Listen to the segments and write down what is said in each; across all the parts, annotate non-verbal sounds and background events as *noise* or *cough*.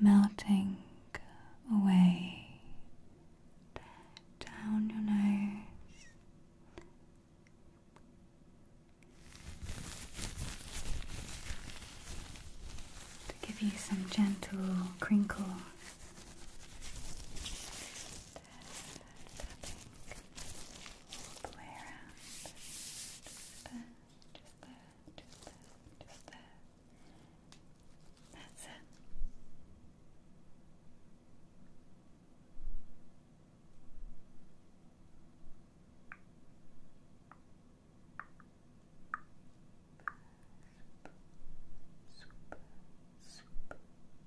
melting away down your nose. To give you some gentle crinkles all the Just there, just there, just there, just there. That's it. Super, super, super,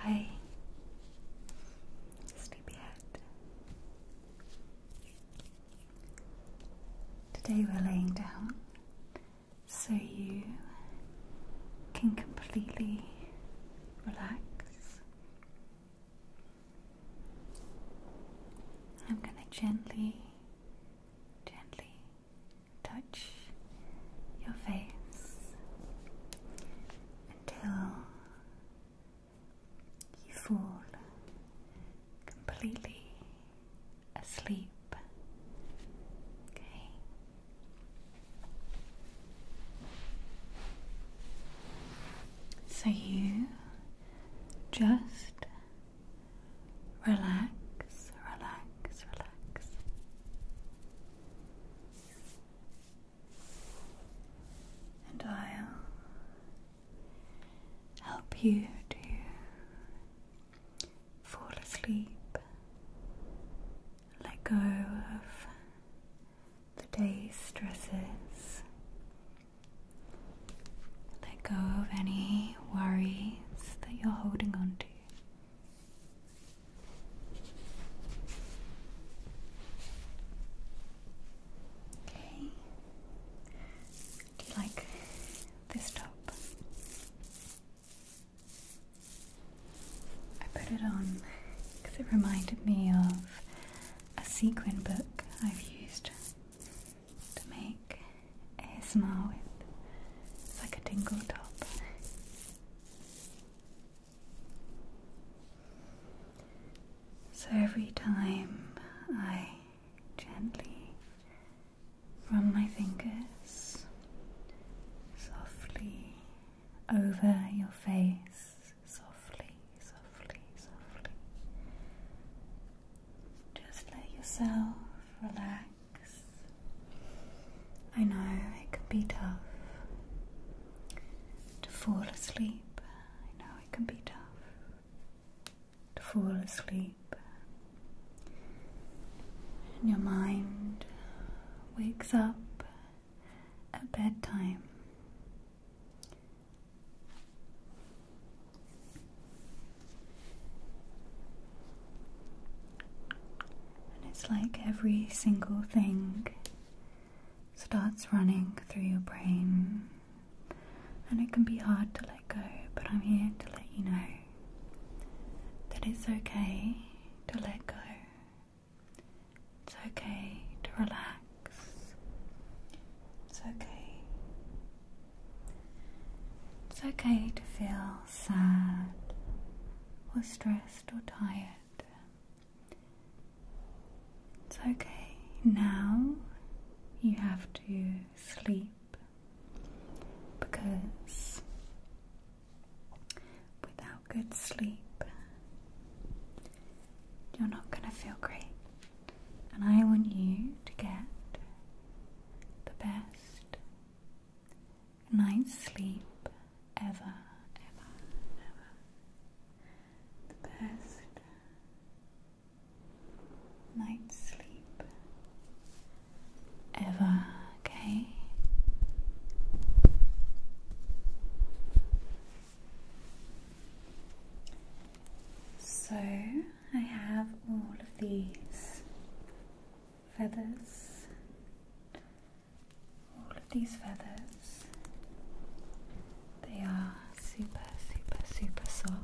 Hi, Sleepyhead. Today we're laying down so you can completely relax. I'm going to gently, gently touch your face until you fall completely asleep. Okay. So you just relax, relax, relax and I'll help you to fall asleep, let go of the day's stresses, let go of any worries that you're holding onto. Do you like this top? I put it on because it reminded me of a sequin book I've used to make a smile with. It's like a tingle top. So every time I gently run my fingers softly over your face, softly, softly, softly, just let yourself relax. I know it can be tough to fall asleep. I know it can be tough to fall asleep, and your mind wakes up at bedtime. And it's like every single thing starts running through your brain, and it can be hard to let go, but I'm here to let you know that it's okay to let go. It's okay to relax. It's okay. It's okay to feel sad or stressed or tired. It's okay. Now you have to sleep because without good sleep, you're not going to feel great. And I want you to get the best Night sleep ever, ever, ever. The best night's sleep ever, okay? So I have all of these feathers all of these feathers. They are super, super, super soft.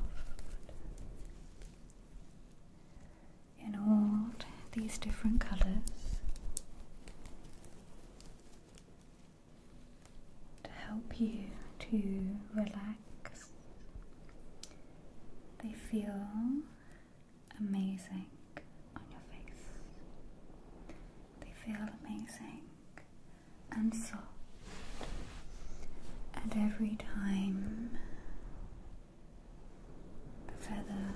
In all these different colours to help you to relax. They feel amazing on your face. They feel amazing and soft. And every time the feather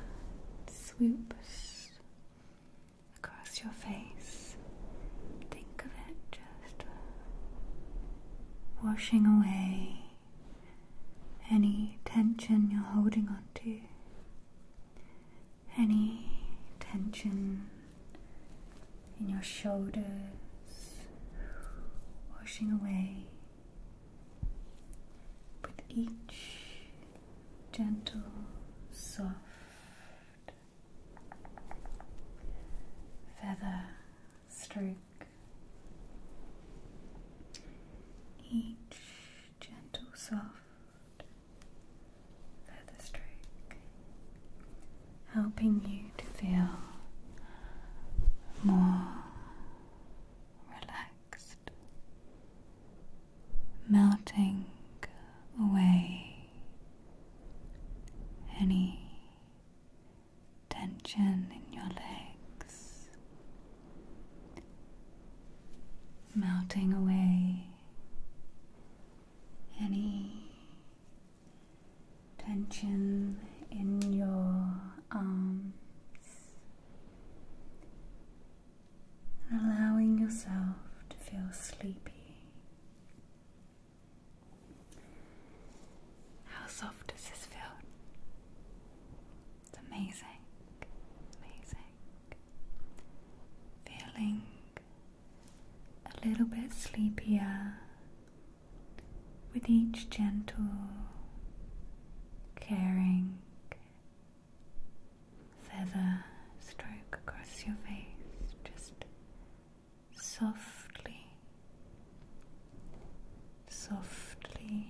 swoops across your face, think of it just washing away any tension you're holding onto any tension in your shoulders, washing away with each gentle, soft feather stroke. Each gentle, soft feather stroke, helping you to feel more relaxed, melting away any tension in your legs, melting away any tension in your arms, allowing yourself to feel sleepy. How soft does this feel? It's amazing, amazing feeling a little bit sleepier with each gentle, caring feather stroke across your face, just softly, softly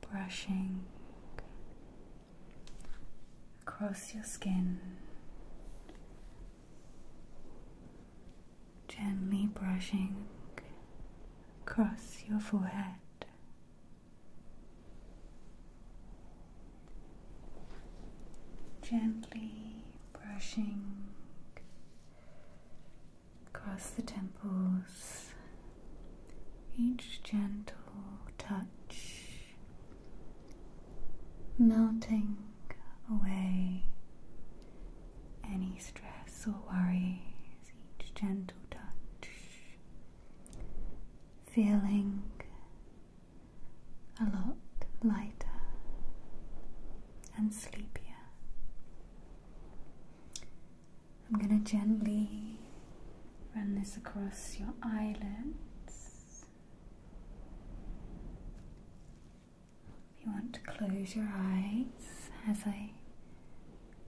brushing across your skin, gently brushing across your forehead. Gently brushing across the temples, each gentle touch melting away any stress or worries, each gentle touch, feeling a lot lighter and sleepier. I'm going to gently Run this across your eyelids. You want to close your eyes as I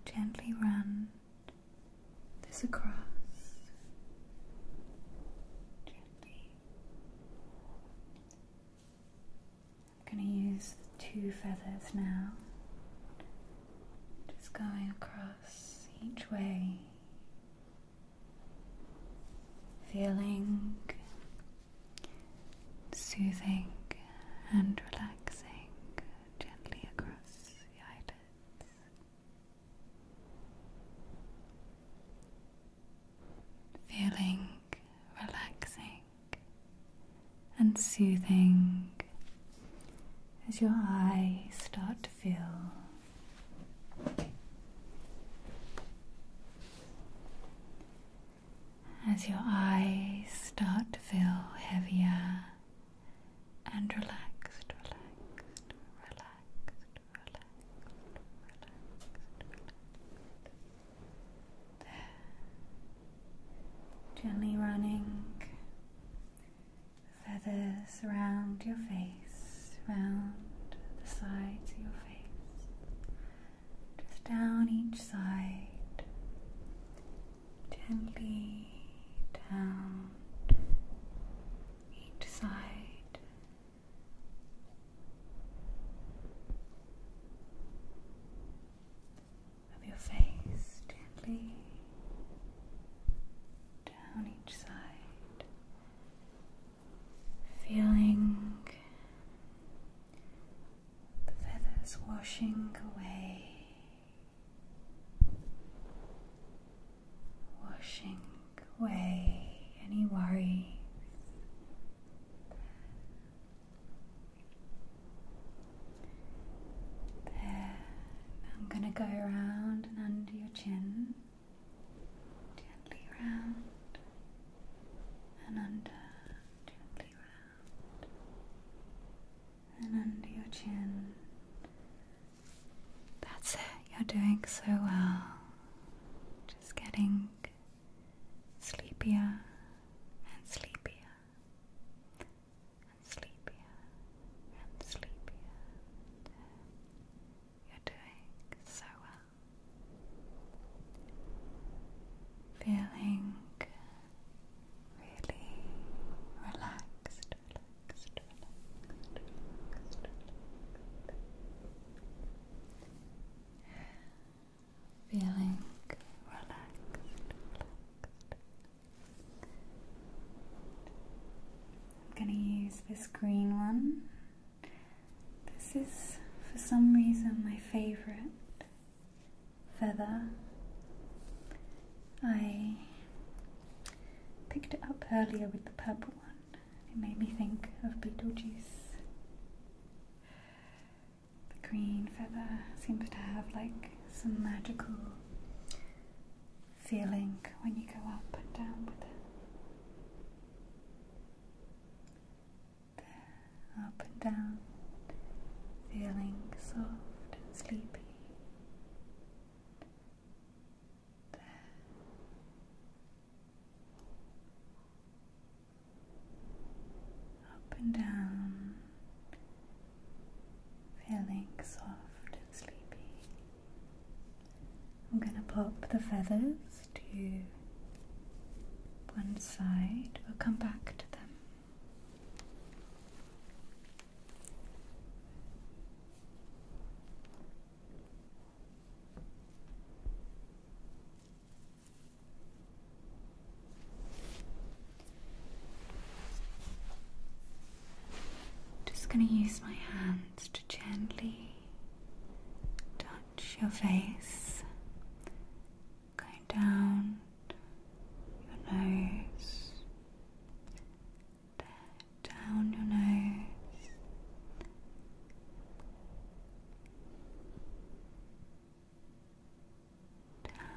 gently run this across. Gently. I'm going to use two feathers now, just going across each way feeling soothing and relaxing gently across the eyelids. Feeling relaxing and soothing as your eyes start to feel as your eyes start to feel heavier and relaxed, relaxed, relaxed, relaxed, Gently running feathers around your face, round the sides of your face, just down each side, gently down each side. Of your face gently down each side, feeling the feathers washing away, washing away any worries. There. I'm going to go around and under your chin gently round and under, gently round and under your chin. That's it, you're doing so well. Just getting sleepier and sleepier and sleepier and sleepier. You're doing so well. Feeling really relaxed, relaxed, relaxed, relaxed. relaxed. Feeling relaxed, relaxed. I'm gonna use this green one. This is, for some reason, my favourite feather. I picked it up earlier with the purple one. It made me think of Beetlejuice. The green feather seems to have like some magical feeling when you go up and down with it. up and down, feeling soft and sleepy. Up and down, feeling soft and sleepy. I'm going to pop the feathers to one side. We'll come back to them. Just going to use my hand to gently touch your face, going down your nose, down your nose.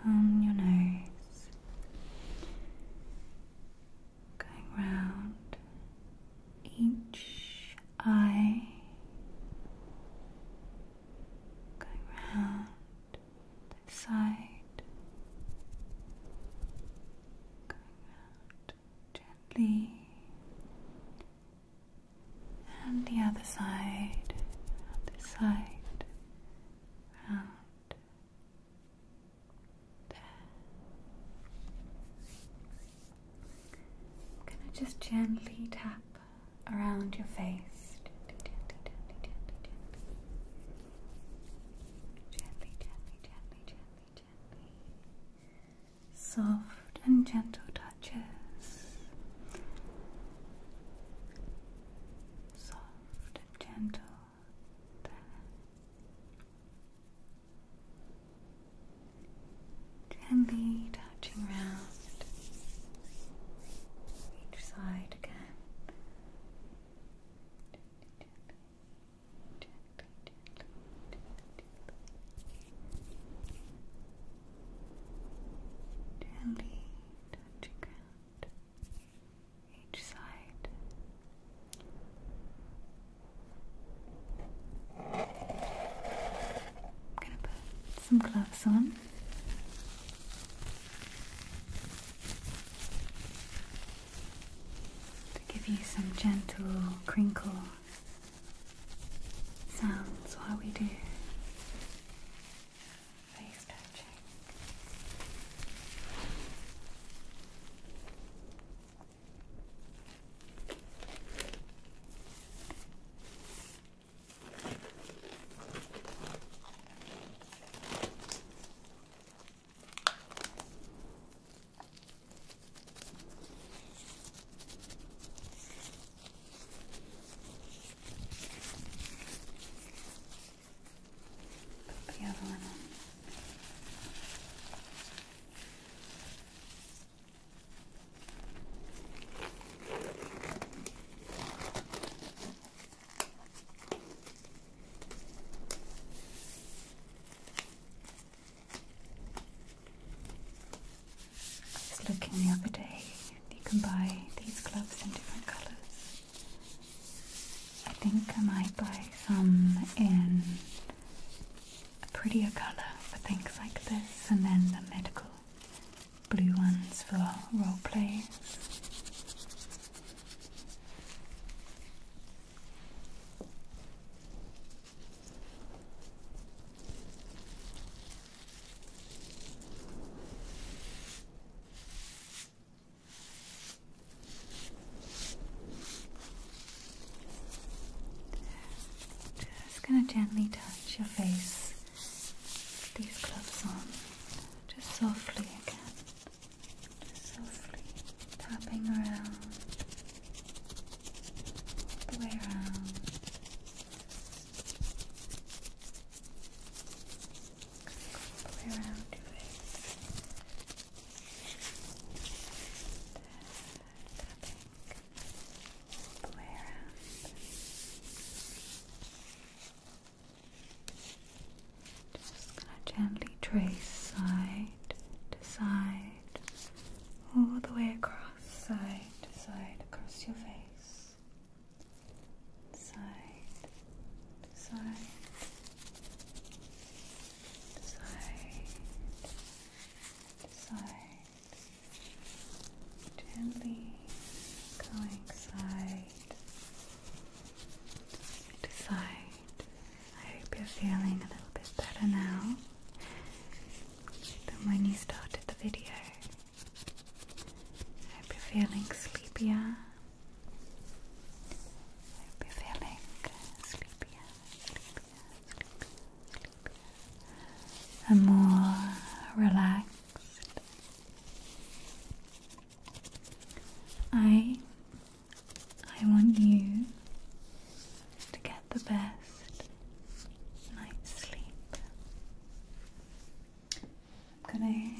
Down your nose, going round each eye, going round this side, going round gently, and the other side, round this side, round I'm gonna just gently tap around your face. Gently, gently, gently, gently. Gently, gently, gently, gently, gently. Soft and gentle touches. Soft and gentle. There. Gently touching round each side again. Gently, touching round each side. I'm gonna put some gloves on. To give you some gentle crinkle sounds while we do face touching. Put the other one on. I was looking the other day, you can buy these gloves in different colours. I think I might buy some in a prettier colour for things like this, and then the medical blue ones for role plays. Just going to gently touch your face these gloves on, just softly again, softly tapping around, all the way around. All the way around just gonna gently trace side to side, all the way across, side to side, across your face, side to side, side side, gently going side to side. I hope you're feeling a little bit better now than when you started the video. I hope you're feeling sleepier. I hope you're feeling sleepier, a more relaxed I I want you to get the best night's sleep. I'm gonna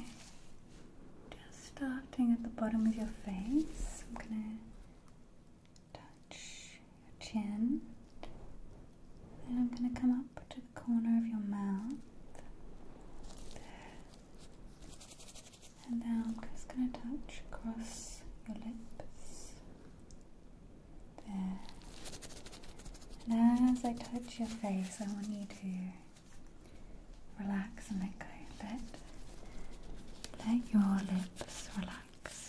just starting at the bottom of your face. I'm gonna touch your chin. and I'm going to come up to the corner of your mouth. There. And now I'm just going to touch across your lips. There. And as I touch your face, I want you to relax and let go a bit. Let your lips relax.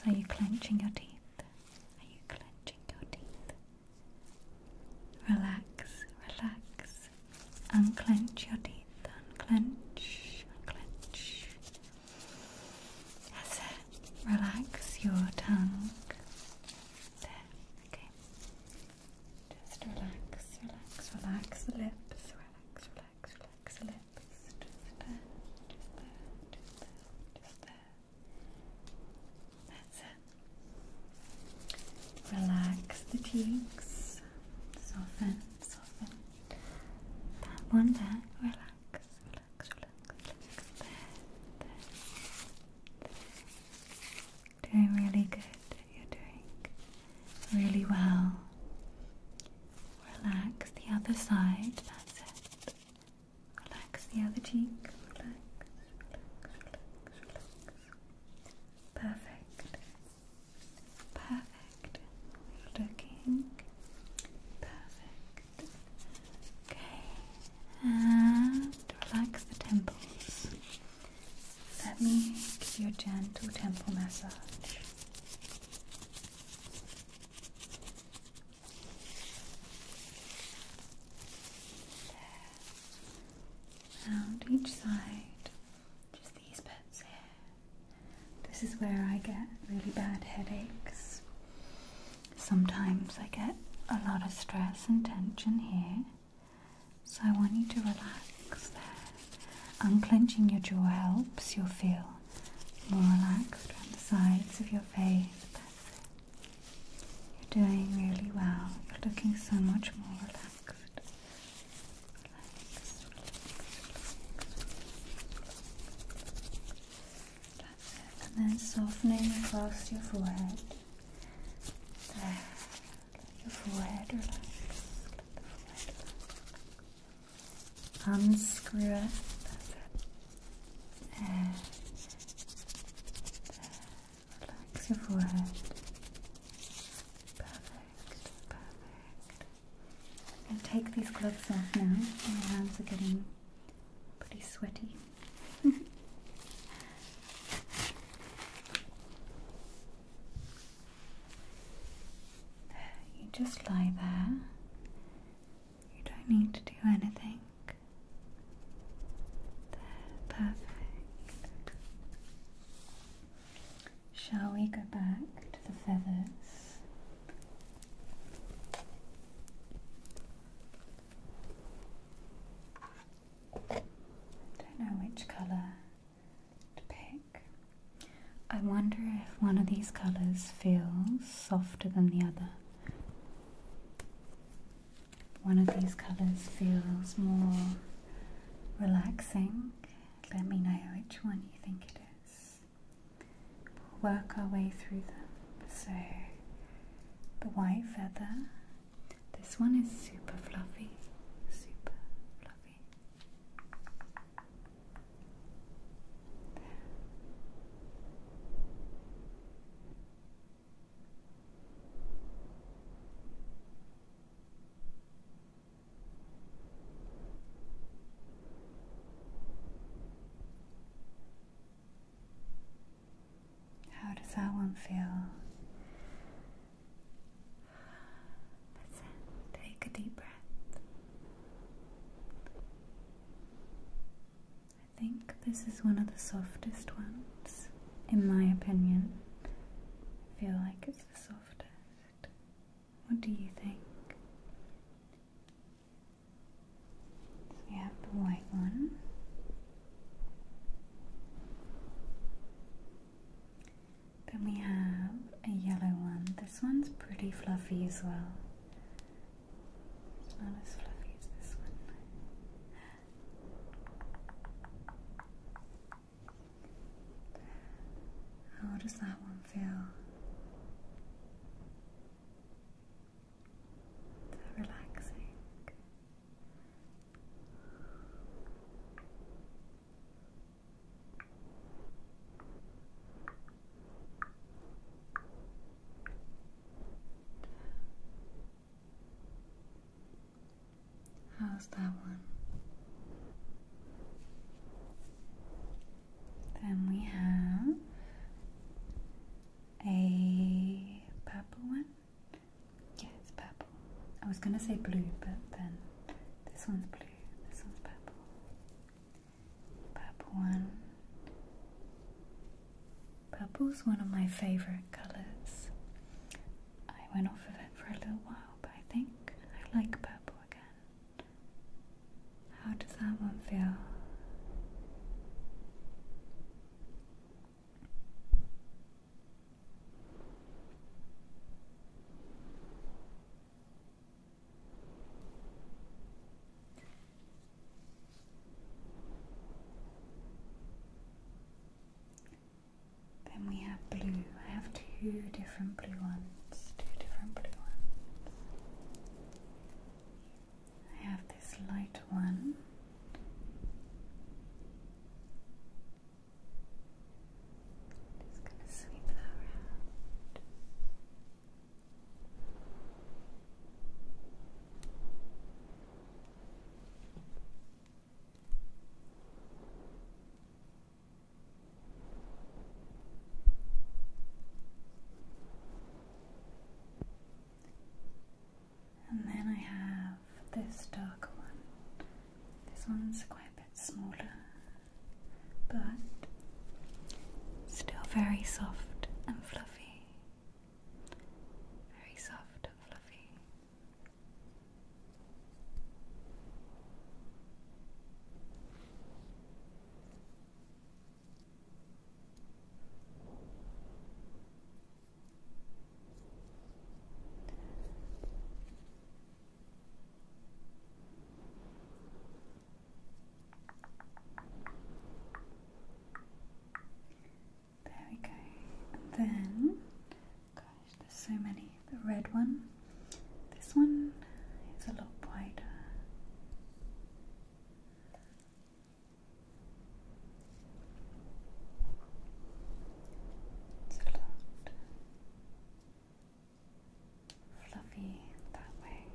Are you clenching your teeth? Are you clenching your teeth? Relax, relax. Unclench your teeth. Unclench, unclench. That's it. Relax your tongue. There, okay. Just relax, relax, relax the lips, relax, relax relax, relax, relax. Just there, just there, just there, just there. That's it. Relax the cheeks. Soften, soften. That one there. Relax, relax, relax, relax. there. there. Doing really good. You're doing really well. Relax the other side, that's it. Relax the other cheek. Relax, relax, relax, relax. Perfect. Perfect. Looking perfect. Okay. And relax the temples. Let me give you a gentle temple massage. Round each side, just these bits here. This is where I get really bad headaches. Sometimes I get a lot of stress and tension here. So I want you to relax there. Unclenching your jaw helps you feel more relaxed around the sides of your face. You're doing really well. You're looking so much more relaxed. And then softening across your forehead. your forehead relax unscrew um, it. And relax your forehead. Perfect, perfect. I'm going to take these gloves off now. My hands are getting pretty sweaty. *laughs* you just lie there you don't need to do anything. There, perfect. Shall we go back to the feathers? I don't know which colour to pick. I wonder if one of these colours feels softer than the other. One of these colours feels more relaxing. Let me know which one you think it is. We'll work our way through them. So, the white feather, this one is super fluffy, super fluffy. How does that one feel? Take a deep breath. I think this is one of the softest ones, in my opinion. I feel like it's the softest. What do you think? we have the white one. Then we have a yellow one. This one's pretty fluffy as well. It's not as fluffy as this one. How does that one feel? relaxing. How's that one? Then we have a purple one. Yeah, it's purple. I was gonna say blue, but then this one's blue, this one's purple. Purple one. Purple's one of my favourite colours. I went off of it for a little while, but I think I like purple again. How does that one feel? Then we have blue. I have two different blue ones. Two different blue ones. I have this light one. Just gonna sweep that around. And then I have this darker one. This one's quite a bit smaller, but still very soft and fluffy very soft and fluffy. There we go. then, gosh, there's so many. The red one, this one is a lot wider. It's a lot fluffy that way.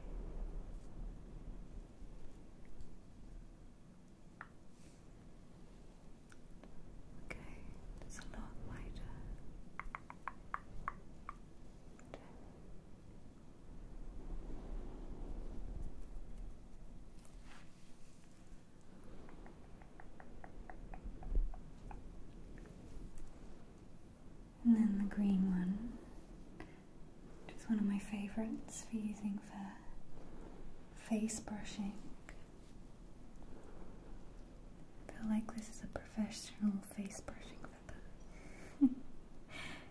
Okay, it's a lot lighter. And then the green one it's one of my favourites for using for face brushing. I feel like this is a professional face brushing feather.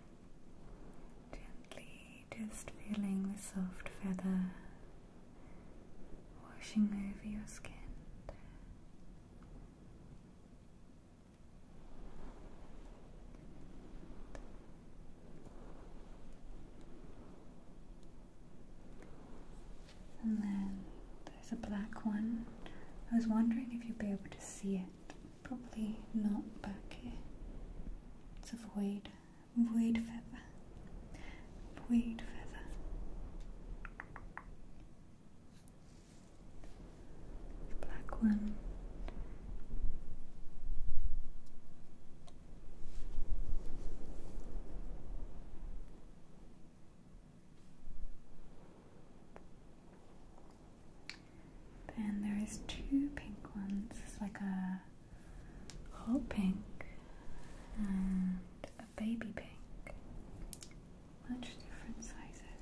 *laughs* Gently just feeling the soft feather washing over your skin. And then there's a black one. I was wondering if you'd be able to see it. Probably not back here. It's a void. Void feather. Void feather black one. Then there is two pink ones. It's like a hot pink and a baby pink. Much different sizes.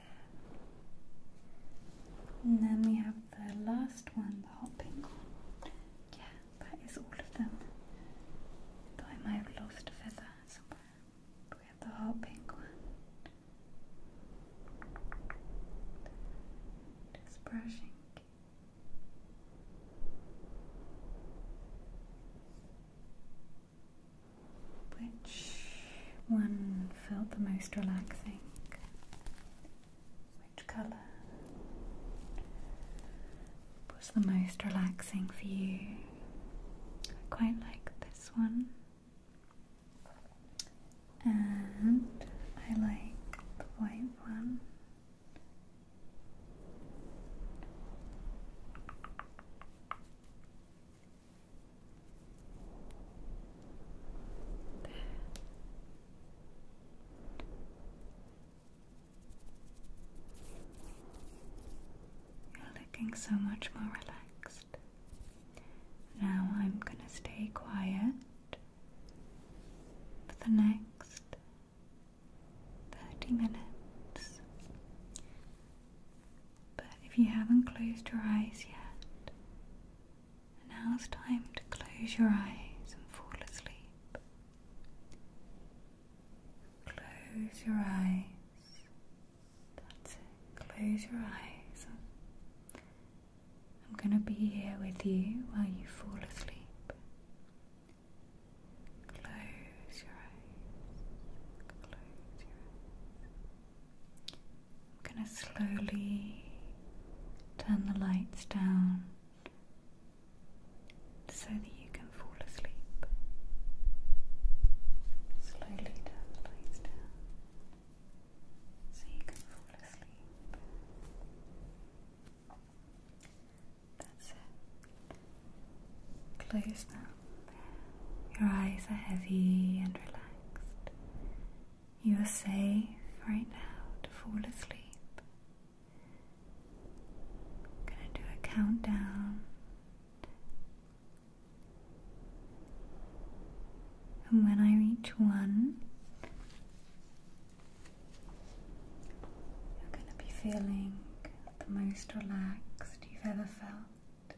And then we have the last one, the hot pink one. Yeah, that is all of them. Though I might have lost a feather somewhere. But we have the hot pink one. Just brushing. Which one felt the most relaxing? Which colour was the most relaxing for you? I quite like this one, and I like the white one. You're looking so much more relaxed. Now I'm going to stay quiet for the next 30 minutes. But if you haven't closed your eyes yet, now it's time to close your eyes and fall asleep. Close your eyes. Close your eyes. I'm going to be here with you while you fall asleep. Close your eyes. Close your eyes. I'm going to slowly turn the lights down so that you can fall asleep. Slowly turn the lights down so you can fall asleep. That's it. Close that your eyes are heavy and relaxed. You are safe right now to fall asleep. I'm going to do a countdown. And when I reach one, you're going to be feeling the most relaxed you've ever felt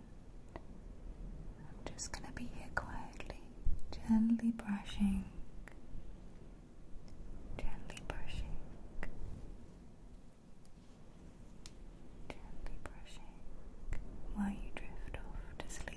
I'm just going to be here quietly, gently brushing, gently brushing, gently brushing while you drift off to sleep.